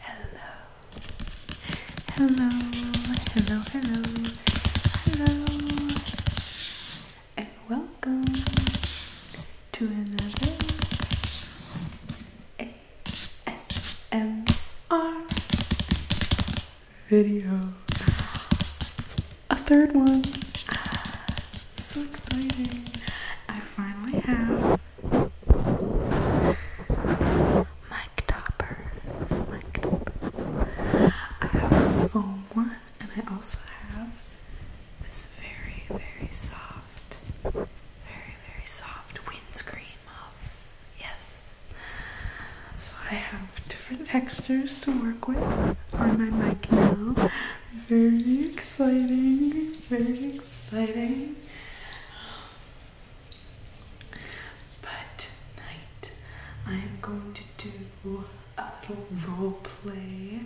Hello. Hello. Hello. Hello. Hello. And welcome to another ASMR video. A third one. Ah, so exciting. I finally have Mic toppers, mic toppers. I have a foam one, and I also have this very, very soft, very, very soft windscreen muff. Yes. So I have different textures to work with on my mic now. Very exciting, very exciting. But tonight I am going to do a little role play.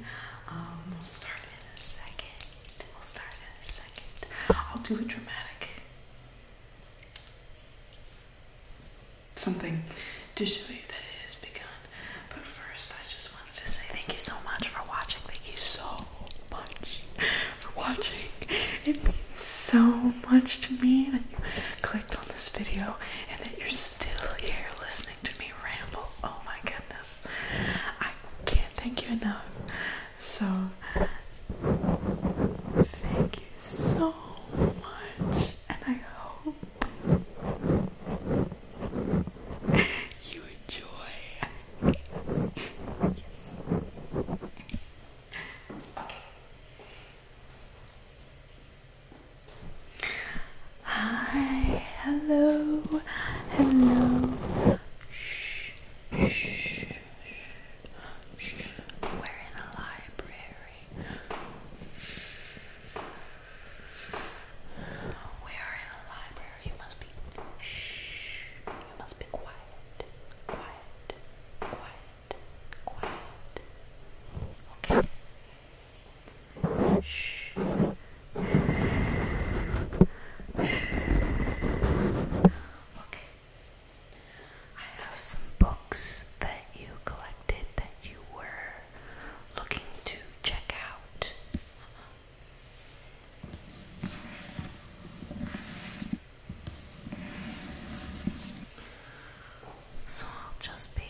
Um, we'll start in a second. We'll start in a second. I'll do a dramatic something to show you that it has begun. But first, I just wanted to say thank you so much for watching. Thank you so much for watching. It means so much to me that you clicked on this video and that you're still here listening to me ramble. Oh my goodness. I can't thank you enough. So, thank you so much, and I hope you enjoy. Hi, hello, hello. Shh, shh, shh. We're in a library. We are in a library. You must be must be quiet, quiet, quiet, quiet. Okay. Shh. Okay. I have some books that you collected that you were looking to check out. So I'll just be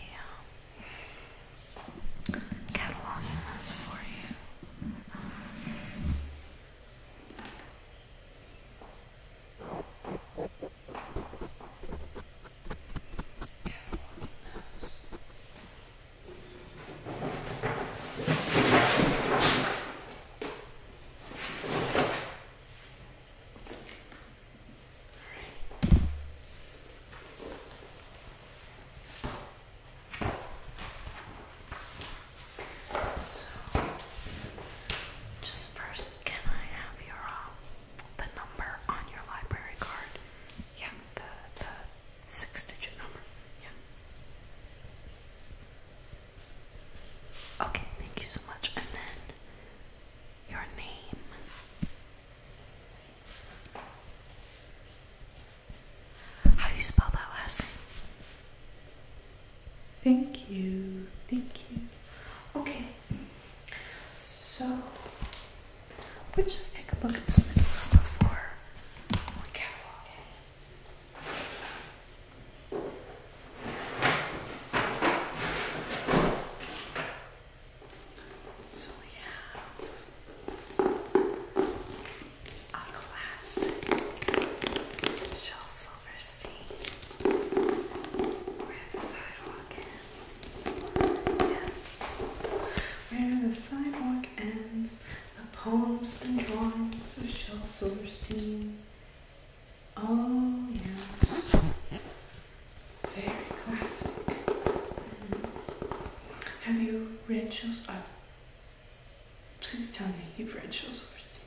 um, cataloging this for you. Right. So, just first, can I have your um, the number on your library card? Yeah, the the six-digit number. Yeah. Okay, thank you so much. And then your name. How do you spell that last name? Thank you. Thank you. Okay. So we'll just take a look at some of these before we catalog it. So we have a classic Michelle Silverstein where the sidewalk ends. Yes. Where the sidewalk ends, the poems and drawings of Shel Silverstein. Oh, yeah. Very classic. Mm-hmm. Have you read Shel uh, Please tell me you've read Shel Silverstein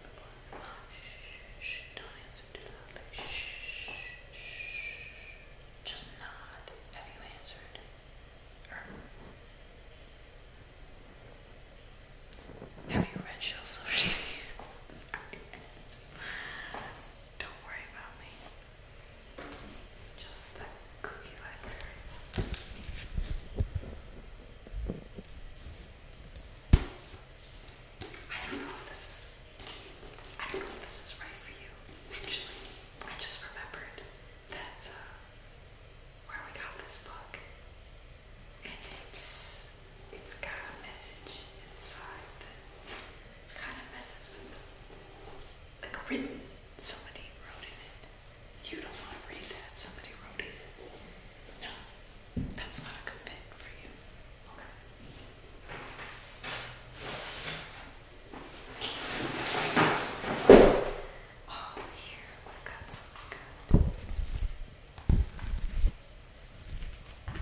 Shh, shh, don't answer Shh, shh, Just nod. Have you answered? Have you read Shell Silverstein? Don't worry about me. Just the cookie library. I don't know if this is I don't know if this is right for you, actually. I just remembered that uh, where we got this book and it's it's got a message inside that kind of messes with the, like written. Somebody wrote in it. You don't want to read that. Somebody wrote it. No, that's not a good fit for you. Okay. Oh, here we've got something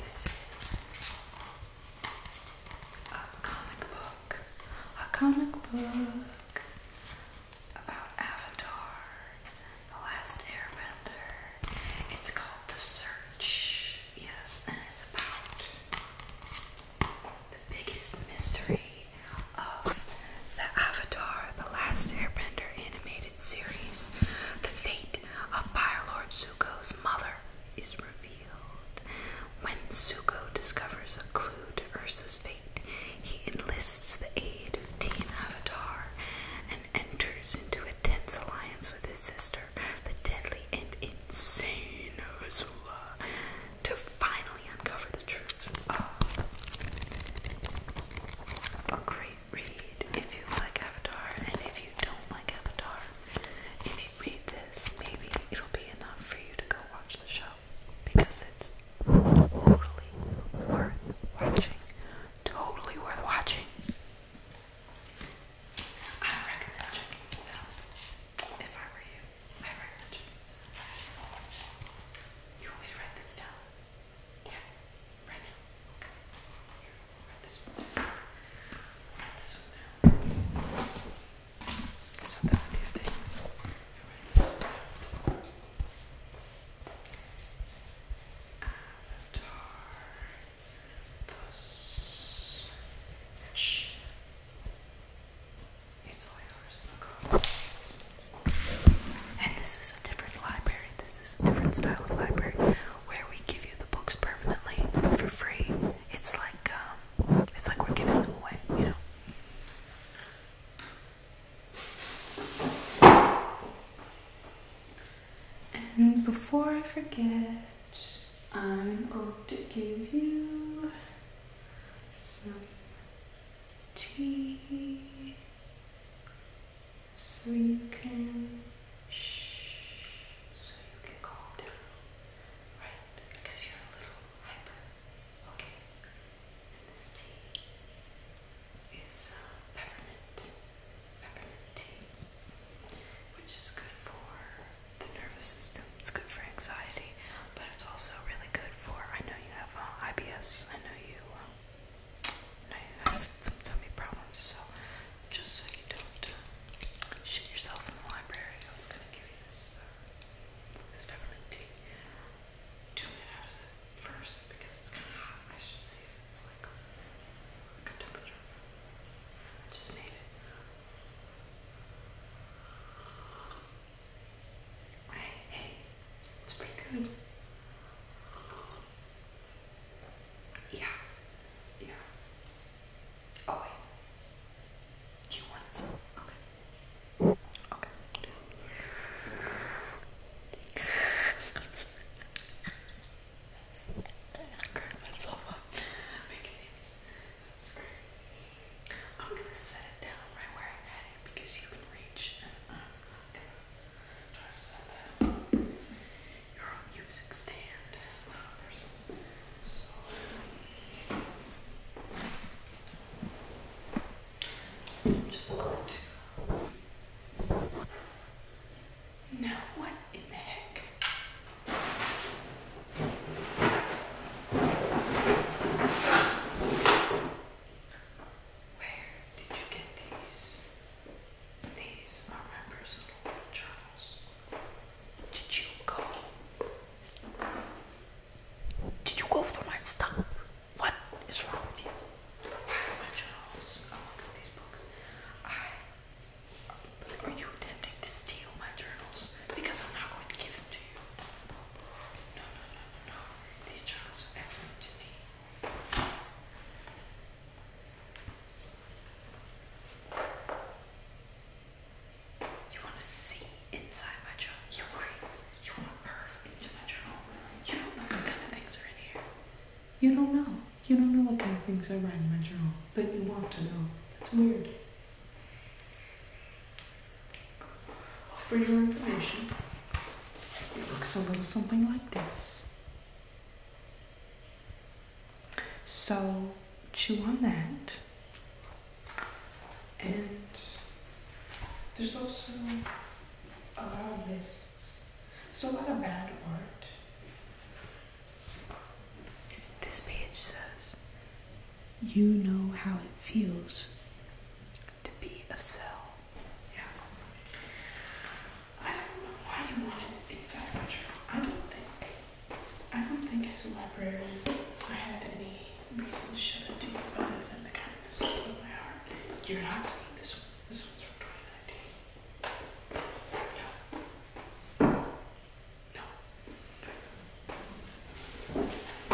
this is a comic book, a comic book about Avatar, The Last Airbender. It's called The Search, yes, and it's about the biggest mystery of the Avatar, The Last Airbender animated series, the fate of Fire Lord Zuko's mother is revealed. When Zuko discovers a clue to Ursa's fate, he enlists the aid of Team Avatar and enters into a tense alliance with his sister, the deadly and insane Ursula, to finally uncover the truth. Oh. A great read if you like Avatar, and if you don't like Avatar, if you read this, maybe it'll be enough for you to go watch the show because it's totally worth watching. Totally worth watching. I recommend checking this If I were you, I recommend checking this You want me to write this down? Yeah, right now. Here, write this one Write this one down. So that would do things. Here, write this It's all yours. And this is a different library. This is a different style of library where we give you the books permanently for free. It's like um, it's like we're giving them away, you know. And before I forget, I'm going to give you some tea so you can shh, so you can calm down, right? Because you're a little hyper, okay? And this tea is uh, peppermint, peppermint tea, which is good for the nervous system. It's good for anxiety, but it's also really good for. I know you have uh, IBS. I know you. Um, I have some tummy problems, so just so you don't uh, shit yourself in the library, I was gonna give you this, uh, this peppermint tea. Two minutes first because it's kind of hot. I should see if it's like a good temperature. I just made it. Hey, hey, it's pretty good. Yeah. Yeah. Oh wait. You want some? Okay. Okay. i myself up making these. I'm gonna set it down right where I had it because you can reach uh, Try to set that up. Your own music stand. Um, so, so I'm just going to. Now, what in the heck? Where did you get these? These are my personal journals. Did you go? Did you go through my stuff? What is wrong with you? Why are my journals amongst these books? I. Are you attempting to steal my journals? Because I'm not going to give them to you. no, no, no, no. These journals are everything to me. You want to see inside my journal? You creep. You want to perv into my journal? You don't know what kind of things are in here. You don't know. You don't know what kind of things are in my journal, but you want to know. That's weird. For your information, it looks a little something like this. So chew on that. And there's also a lot of lists. There's a lot of bad art. This page says, You know how it feels to be a cell. Yeah. I don't know why you want it inside my I don't think. I don't think as a librarian I had any reason to shut it to you other than the kindness of my heart. You're not seeing this one. This one's from 2019. No.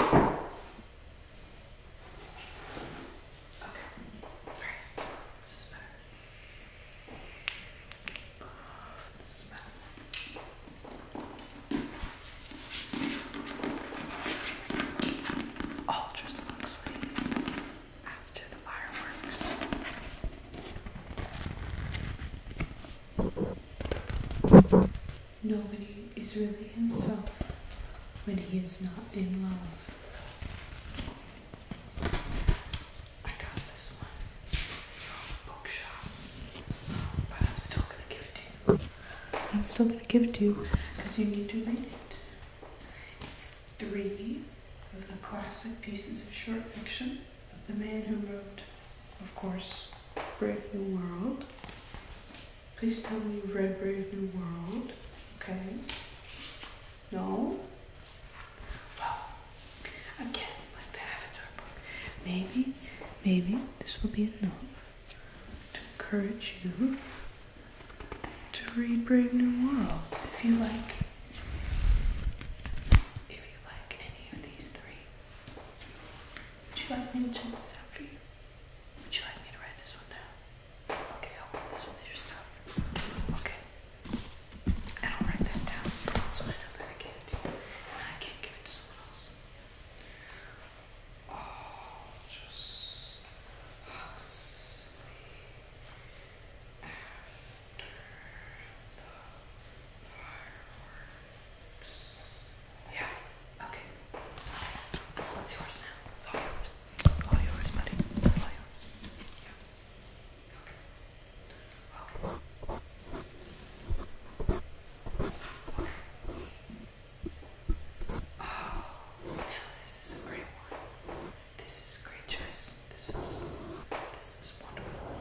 No. Okay. Alright. after the fireworks. Nobody is really himself when he is not in love. I got this one from a bookshop, but I'm still gonna give it to you. I'm still gonna give it to you because you need to read it. It's three of the classic pieces of short fiction the man who wrote, of course, Brave New World. Please tell me you've read Brave New World. Okay. No? again, like the Avatar book, maybe, maybe this will be enough to encourage you to read Brave New World if you like. If you like any of these three, would you like me to check this out for you? Would you like me to write this one down? Okay, I'll put this with your stuff. Okay. And I'll write that down so I know that I gave it And I can't give it to someone else. Oh, just after the fireworks. Yeah, okay. It's yours now. It's all yours. All yours, buddy. All yours. Oh, this is a great one. This is great choice. This is this is wonderful.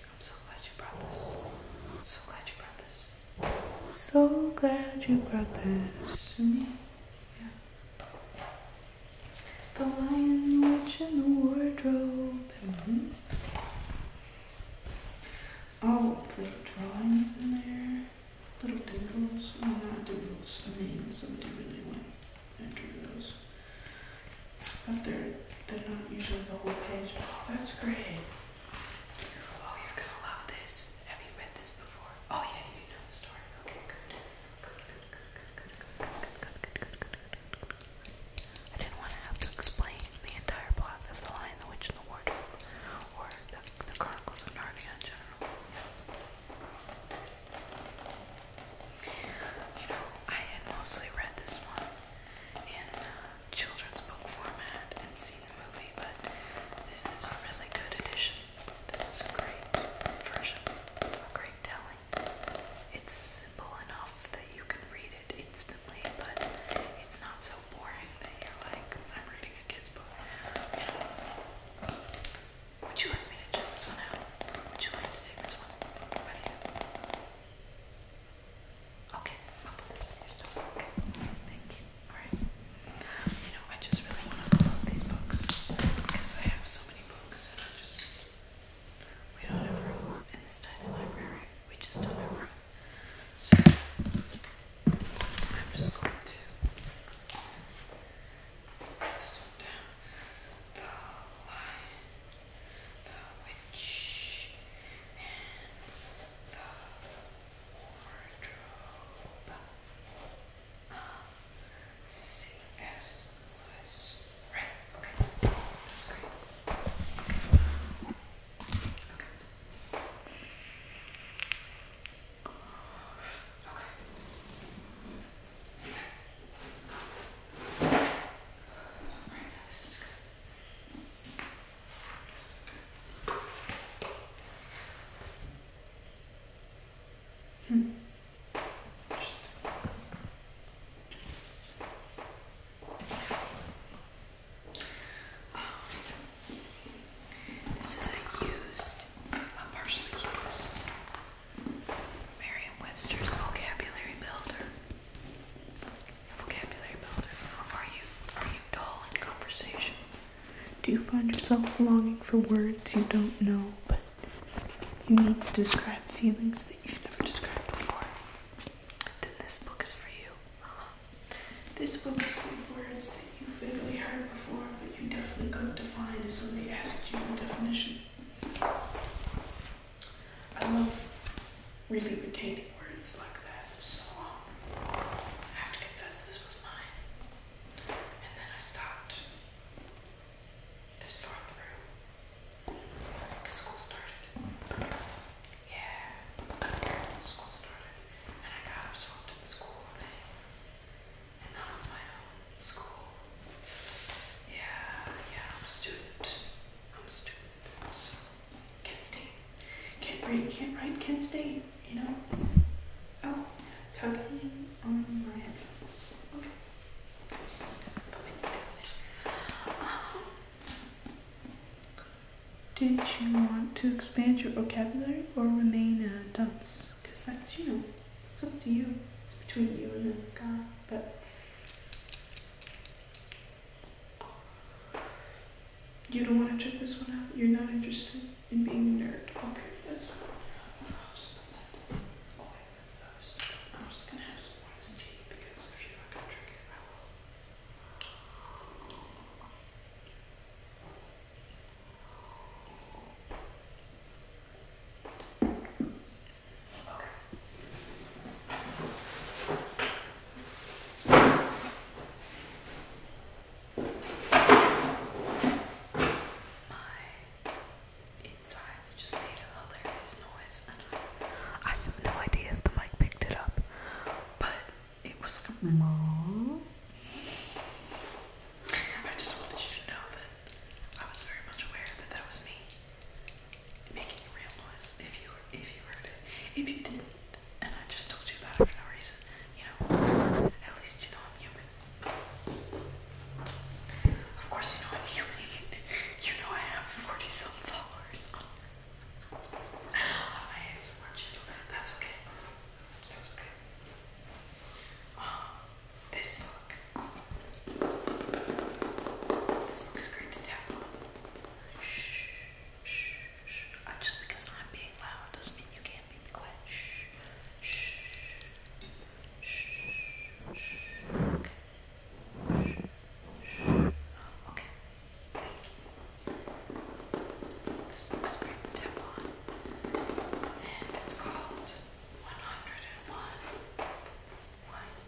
I'm so glad you brought this. So glad you brought this. So glad you brought this to me. Yeah. The Lion, Witch, and the Wardrobe. Mm-hmm. All the drawings in there. Little doodles. Oh, not doodles. I mean, somebody really went and drew those. But they're, they're not usually the whole page. Oh, that's great. Oh, you're going to love this. Have you read this before? Oh, yeah, you know the story. Okay, good. I didn't want to have to explain the entire plot of The Lion, the Witch, and the Wardrobe, or the, Chronicles of Narnia in general. You know, I had mostly read this one in uh, children's book format and seen the movie, but this is a really good edition. This is a great version, a great storytelling. It's simple enough that you can read it instantly, but it's not so boring that you're like, I'm reading a kid's book. Would you like me to check this one Would you like to take this one Okay, I'll put this in your store. Okay, thank you. Alright. You know, I just really want to upload these books because I have so many books books, and I just we don't have room in this tiny library. We just don't have room. So I'm just going to put this one down. The lion, the witch, and the wardrobe. Um, C.S. Lewis. Right, okay. That's great. Okay. Okay. Alright, this is good. This is good. Hmm. This is a used, partially used Merriam Webster's vocabulary builder. Vocabulary builder. Are you are you dull in conversation? Do you find yourself longing for words you don't know you need to describe feelings that you've never described before, then this book is for you. Uh -huh. This book is full of words that you vaguely heard before, but you definitely couldn't define if somebody asked you the definition. I love really retaining words like that, so I have to confess this was mine. And then I stopped. This far through. Like school started. Yeah. School started. And I got absorbed in the school thing. And not on my own school. Yeah, yeah, I'm a student. I'm a student. So can't stay. Can't read, can't write, can't stay, you know? Oh, tugging on my headphones. Okay. Did you want to expand your vocabulary or remain a dunce? Because that's, you know, it's up to you. It's between you and God, but you don't want to check this one out? You're not interested in being a nerd? Okay, that's fine. I'm just, I'm just gonna have some more of this tea because if you're not gonna drink it, I will. Okay. I I, have no idea if the mic picked it up, but it was like a mom. I just wanted you to know that I was very much aware that that was me making a real noise. If you if you heard it, if you didn't, and I just told you about it for no reason, you know, at least you know I'm human. Of course, you know I'm human. you know I have 40 some followers on, oh, on my ASMR channel. That's okay. That's okay. Um, this book. This book is great to tap Shh, shh, shh. Uh, just because I'm being loud doesn't mean you can't be quiet. shh. Okay. This book's great to tap on. And it's called 101. 101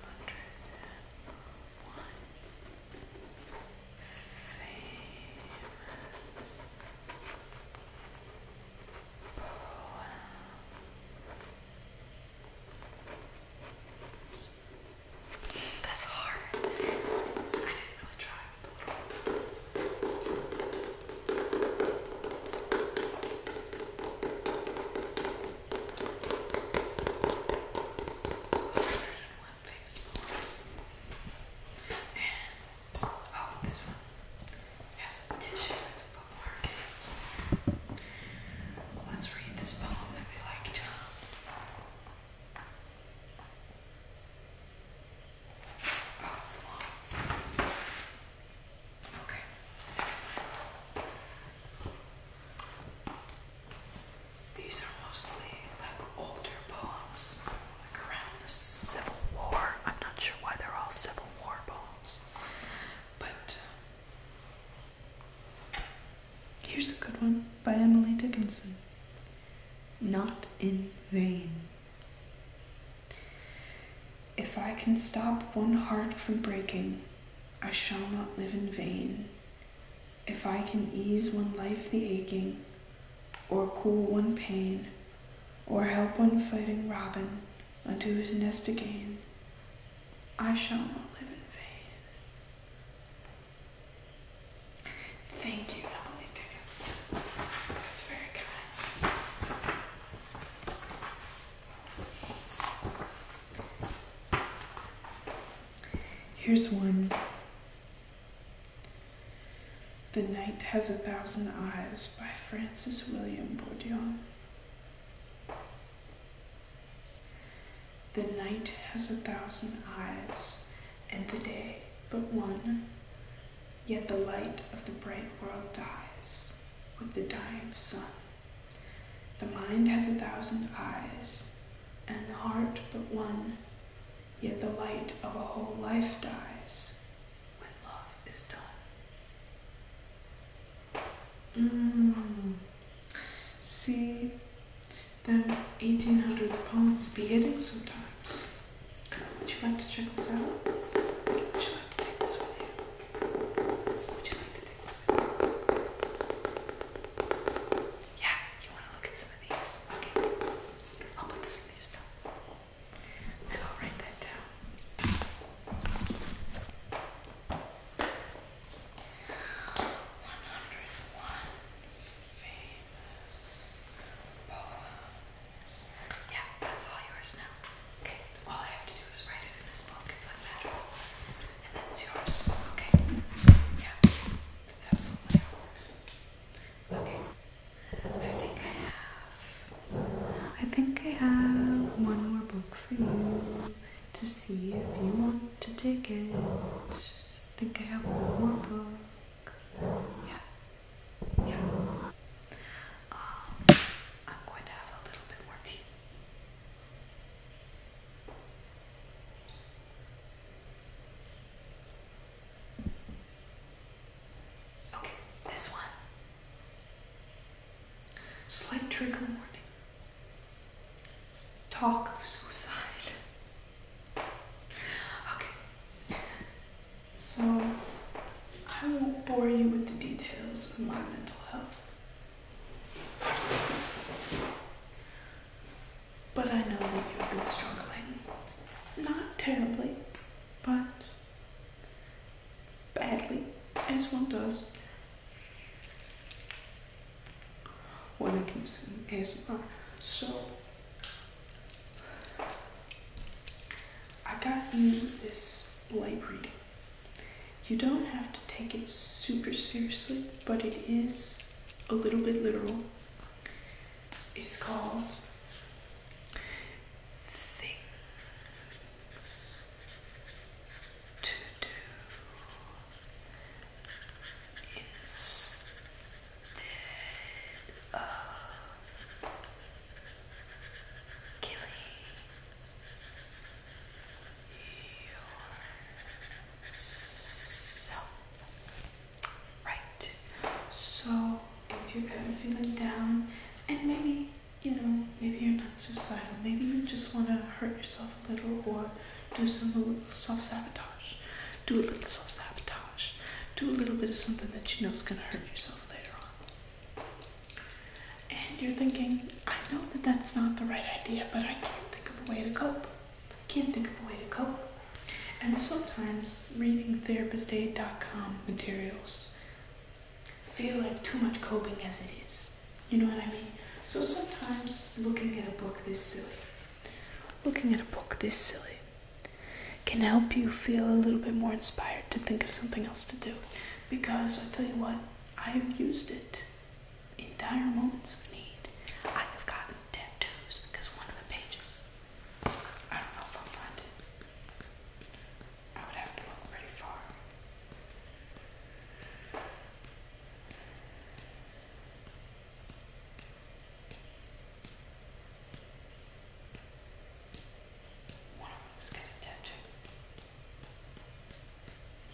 Famous Poems. That's hard. I didn't really try 101 famous poems. And, oh, this one. As a tissue, has a bookmark in it somewhere. Let's read this poem that we like, Oh, it's long. Okay, These are mostly like older poems, like around the Civil War. I'm not sure why they're all Civil War poems, but Here's a good one by Emily Dickinson Not in Vain. If I can stop one heart from breaking, I shall not live in vain. If I can ease one life the aching, or cool one pain, or help one fighting robin, unto his nest again, I shall not live in vain. Thank you, Emily Dickinson. That's very kind. Here's one. The Night Has a Thousand Eyes by Francis William Bourdieu. The night has a thousand eyes, and the day but one, yet the light of the bright world dies with the dying sun. The mind has a thousand eyes, and the heart but one, yet the light of a whole life dies when love is done. Mm. See them 1800s poems be hitting sometimes. Would you like to check this out? Would you like to take this with you? Would you like to take this with you? Yeah, you want to look at some of these? Okay. I'll put this with you still. And I'll write that down famous poems. Yeah, that's all yours now. Okay, all I have to do is write it in this book. It's unmatchable. And then it's yours. Okay. Yeah, that's absolutely how Okay. I think I have. I think I have one more book for you to see if you want to take it. I think I have one more book. Yeah. Yeah. Um, I'm going to have a little bit more tea. Okay, this one Slight trigger warning. talk of suicide. Okay. So, I won't bore you with the details of my mental health. But I know that you've been struggling. Not terribly, but badly, as one does when I can sing ASMR. So I got you this light reading. You don't have to take it super seriously, but it is a little bit literal. It's called Think to do instead of killing yourself. Right. So if you're ever feeling down and maybe you know, maybe you're not suicidal. Maybe you just want to hurt yourself a little or do some self sabotage. Do a little self sabotage. Do a little bit of something that you know is going to hurt yourself later on. And you're thinking, I know that that's not the right idea, but I can't think of a way to cope. I can't think of a way to cope. And sometimes reading therapistaid.com materials feel like too much coping as it is. You know what I mean? So sometimes looking at a book this silly, looking at a book this silly, can help you feel a little bit more inspired to think of something else to do. Because I tell you what, I have used it in dire moments of need. I have gotten tattoos because one of the pages, I don't know if I'll find it, I would have to look pretty far. One of them's gonna touch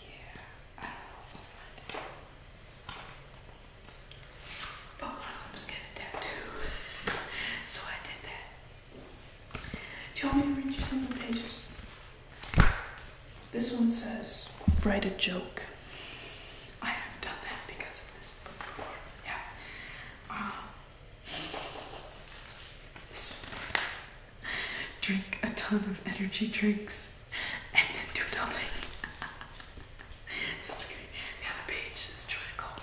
Yeah, I do i find it. But one of them's got a so I did that. Do you want me to read you some of the pages? This one says, write a joke. I have done that because of this book before. Yeah. Um, this one says, drink a ton of energy drinks and then do nothing. That's page says, try to call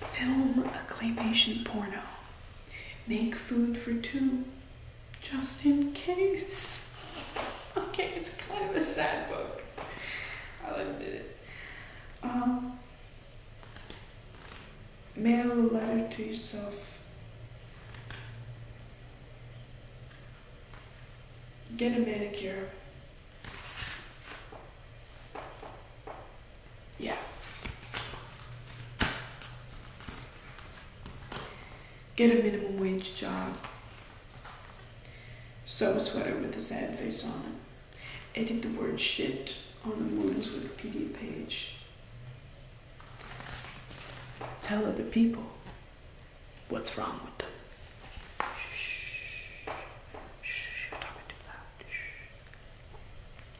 it. Film a claymation porno. Make food for two, just in case. okay, it's kind of a sad book. I loved it. Um, mail a letter to yourself. Get a manicure yeah. Get a minimum wage job. Sew a sweater with a sad face on it. Edit the word shit on a moon's Wikipedia page. Tell other people what's wrong with them.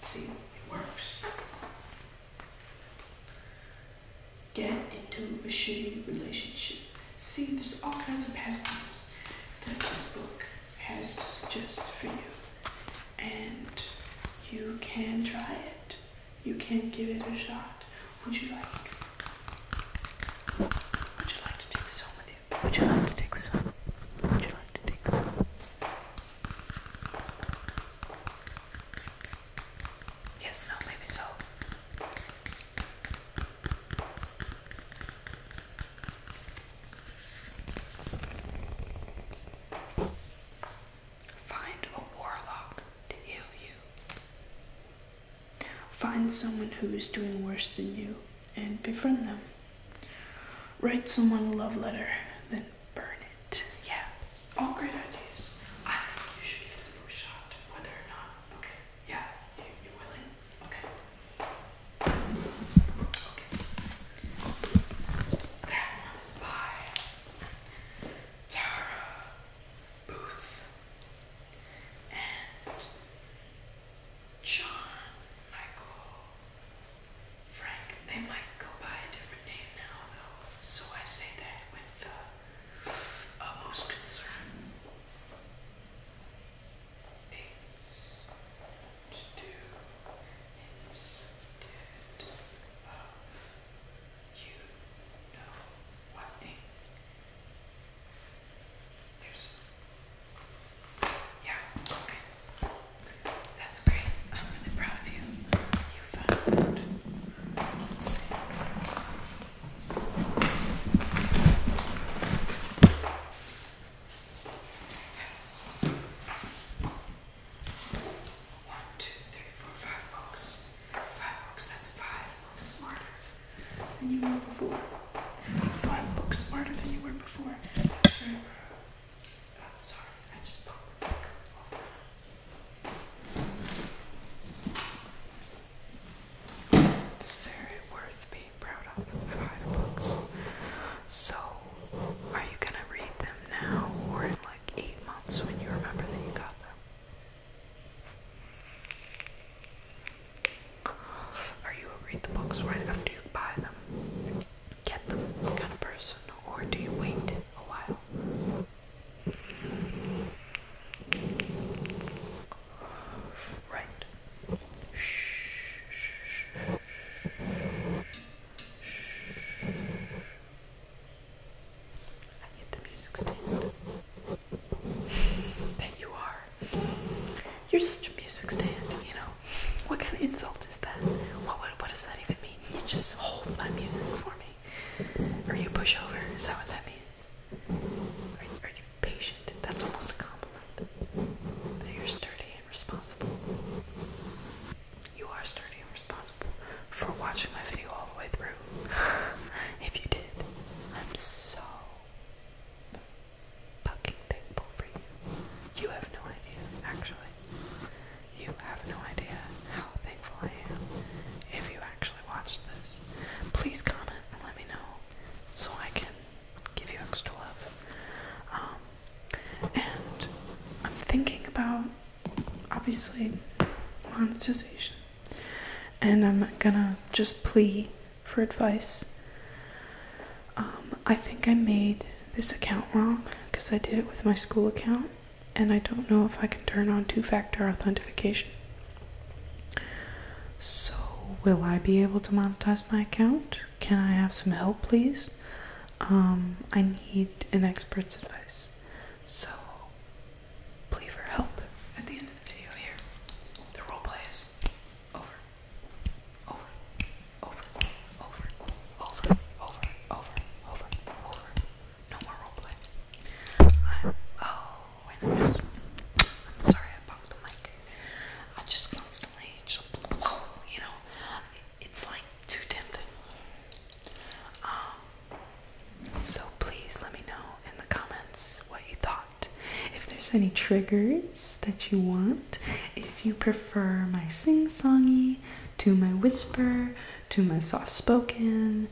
See, it works. Get into a shitty relationship. See, there's all kinds of past problems that this book has to suggest for you. And you can try it. You can give it a shot. Would you like? Would you like to take this home with you? Would you like to take this home? Would you like to take this home? Yes, no, maybe so. Find a warlock to heal you. Find someone who is doing worse than you and befriend them. Write someone a love letter, then burn it yeah, all great ideas. I think you should get this shot, whether or not. Okay, yeah, you, are willing. Okay. Okay. That one is by Yara Booth and John Michael Frank. They might go by a different name now, though, so I say that with uh, most concern. Things to do instead of you know what Yeah, that's great. I'm really proud of you. You found. Yes. One, two, three, four, five books. Five books, that's five books smarter than you were before. Five books smarter than you were before. Oh, sorry, I just popped the book It's very worth being Five books. So, are you gonna read them now or in like eight months when you remember that you got them? Are you read the books right after you buy them? get them kind of person, or do you wait a while? Right. Shh, I hit the music stand. That you are. You're such a music stand, you know. What kind of insult is that? What what, does that even mean? you just hold my music for me? Or you push over? Is that what that means? Are you, are you patient? That's almost a compliment. That you're sturdy and responsible. You are sturdy and responsible for watching my video all the way through. if you did, I'm so fucking thankful for you. You have no idea, actually. You have no idea how thankful I am if you actually watched this. Please comment and let me know so I can give you extra love. Um, and I'm thinking about obviously monetization, and I'm gonna just plea for advice. Um, I think I made this account wrong because I did it with my school account and I don't know if I can turn on two factor authentication. So, will I be able to monetize my account? Can I have some help, please? Um, I need an expert's advice. So, plead for help at the end of the video here. The roleplay is over. Over. Over. Over. Over. Over. Over. Over. Over no more roleplay. oh, I'm, sorry I popped the mic. I just constantly, you know, it's like too tempting. Um, so please let me know in the comments what you thought. If there's any triggers that you want, if you prefer my sing-songy to my whisper to my soft spoken.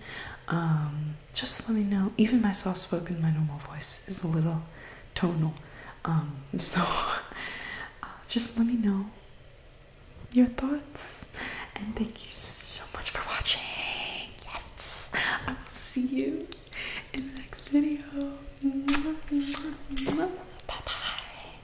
Um, just let me know. Even my soft spoken, my normal voice is a little tonal. Um, so uh, just let me know your thoughts. And thank you so much for watching. I will see you in the next video. Bye bye.